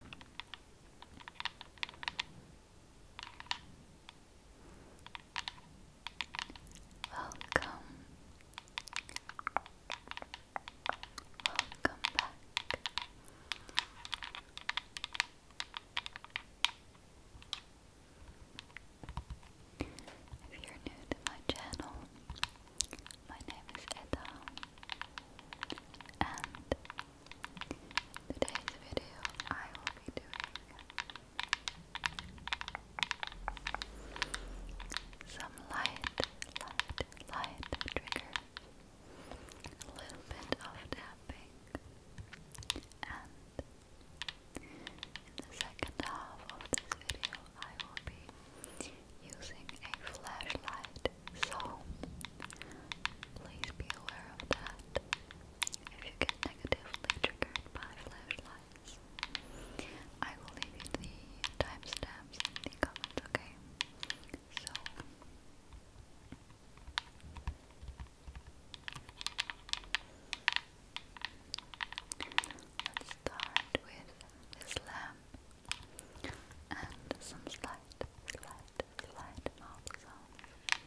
Welcome. Welcome back. If you're new to my channel, my name is Edda, and Today's video, I will be doing some light, light, light triggers, a little bit of tapping, and in the second half of this video, I will be using a flashlight so please be aware of that. If you get negatively triggered by flashlights, I will leave the timestamps in the comments, okay? So Let's start with this lamp and some slight, slight, slight mouth sounds. Good,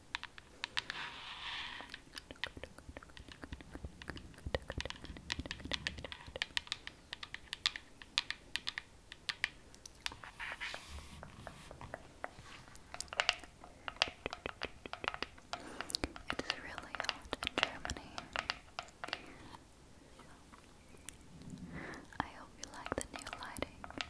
it's really hot in Germany. I hope you like the new lighting.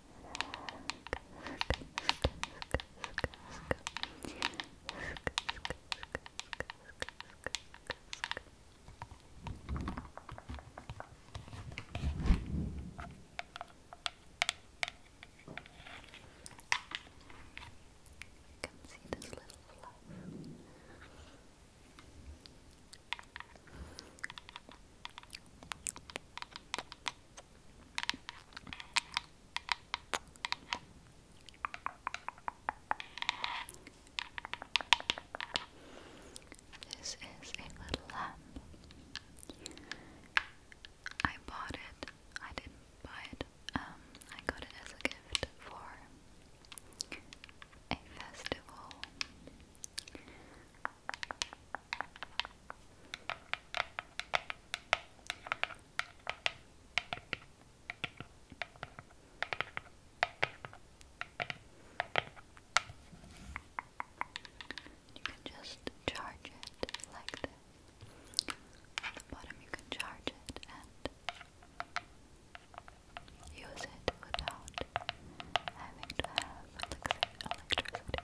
can see this little fluff. Good. This is a little lamp. Um, I bought it. I didn't buy it. Um, I got it as a gift for a festival. You can just charge it like this. At the bottom, you can charge it and use it without having to have electricity.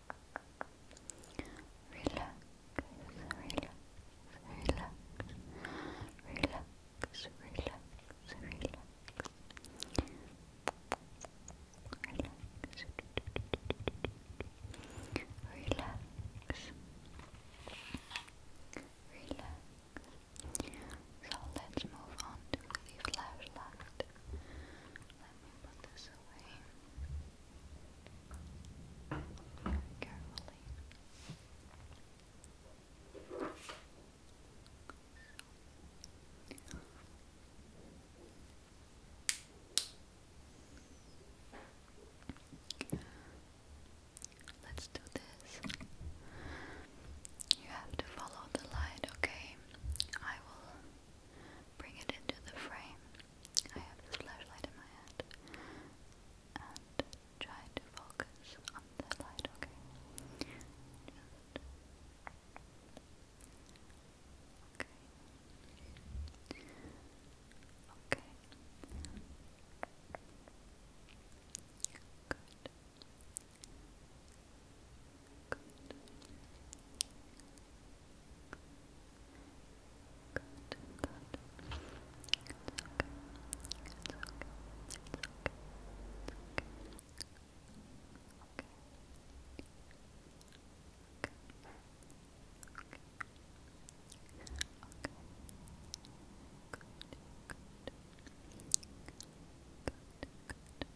relax, relax, relax, relax, relax, relax. Relax. Relax. So let's move on to the flashlight. Let me put this away carefully. Let's do this. You have to follow the light, okay? I will bring it into the frame. I have this flashlight in my hand and try to focus on the light, okay? Okay. Okay. Good. Good. Good, good. It's okay. It's okay. It's okay. It's okay. Okay. Okay. Okay. Okay. Good. Good. Good. Good.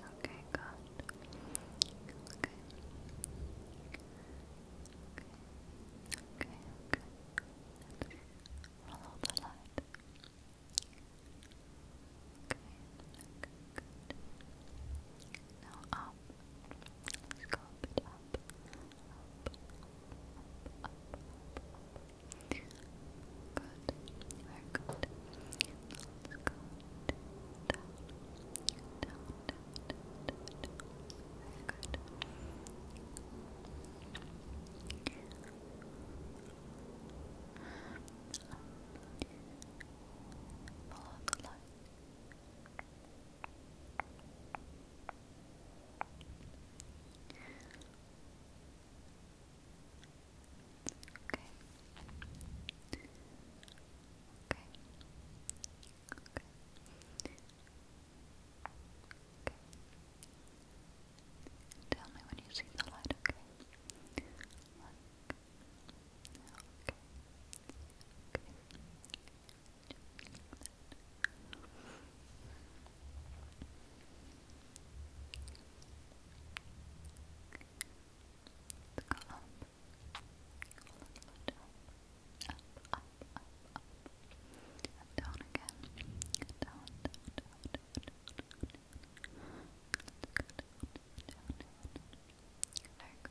Okay, good. Okay. Okay, okay, okay. the light. Okay, good. Now up. Let's go a bit up. Up, up, up, up. Good good. we follow the light. Okay. Okay. Okay. Okay. Tell me when you see the light, okay? okay. Okay. Okay. Let's up. Up, up, up, up. down again. Down, down, down, down, down, down. Let's go down, down, down. Very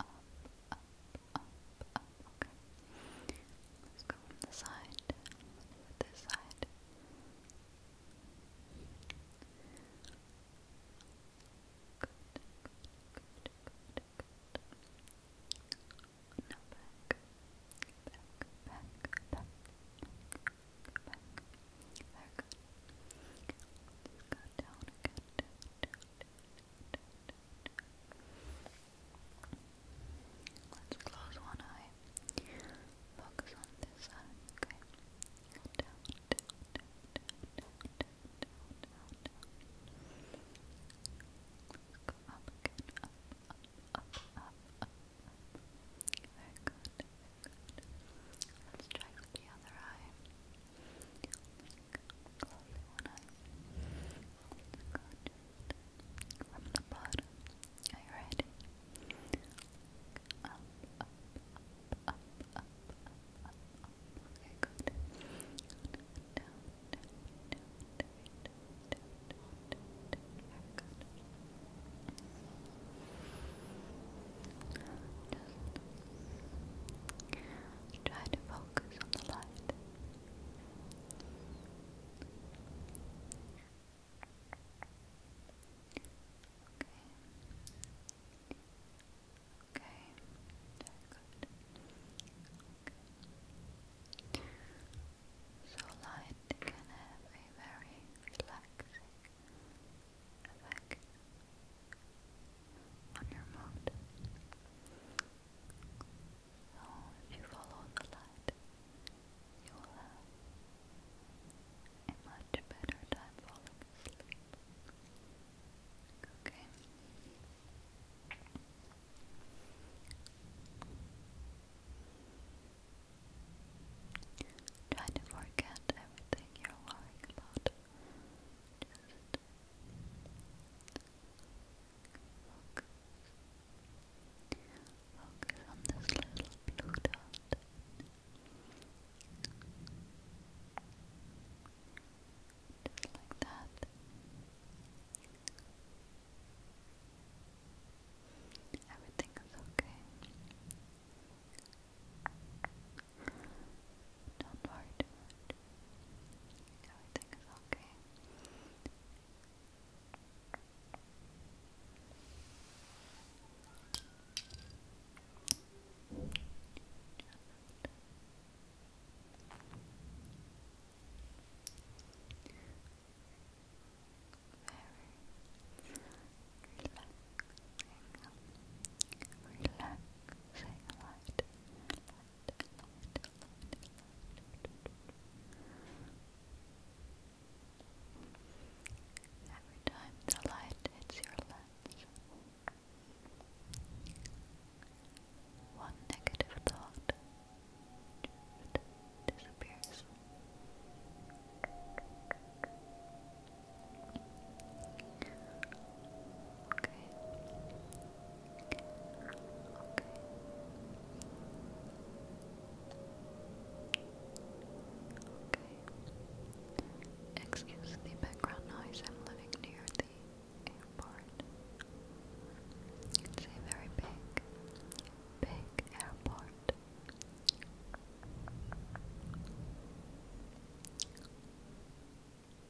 up, up, Let's go from the side. Let's do it this side. Good, good, good, good, good. Now back. Back, back, back, back, back. Very good. Let's go down again, down, down, Let's close one eye. Focus on this side, okay? Down, down, up up, up, up, up, up. Let's check the other eye. Closing one eye. From the bottom. Are you ready? Up, up, up, up, up, up, up. Okay, good. Down, down, down, down, down, down, down, down, down. Very good. Just Try to focus on the light. Okay. Okay. So light can have a very relaxing effect on your mouth. if you follow the light, you will have a much better time falling asleep. Okay. Try to forget everything you're worrying about focus. Focus on this little blue dot. Just like that. Everything is okay. Don't worry Everything is okay. Very relaxing, relaxing light, Every time the light hits your lens, one negative thought disappears. Excuse the background noise. I'm living near the airport. It's a very big, big airport going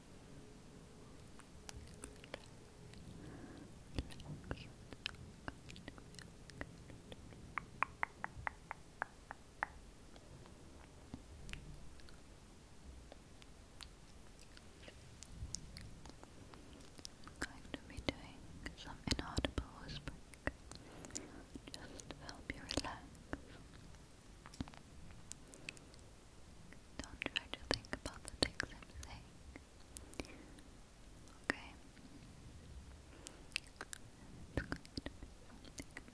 to be doing some inaudible just to help you relax don't try to think about the things I'm saying. Okay. you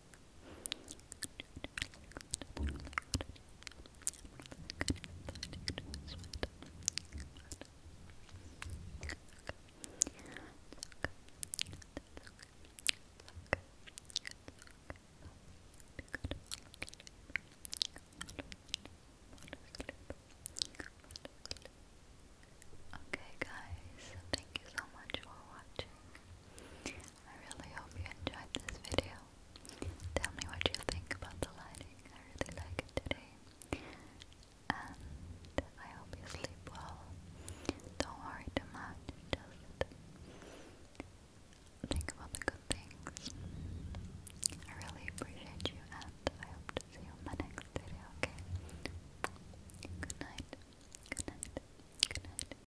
Okay guys, thank you so much for watching. I really hope you enjoyed this video. Tell me what you think about the lighting. I really like it And I hope you sleep well. Don't worry too much. Just think about the good things. I really appreciate you and I hope to see you in my next video, okay? Good night. Good night. Good night.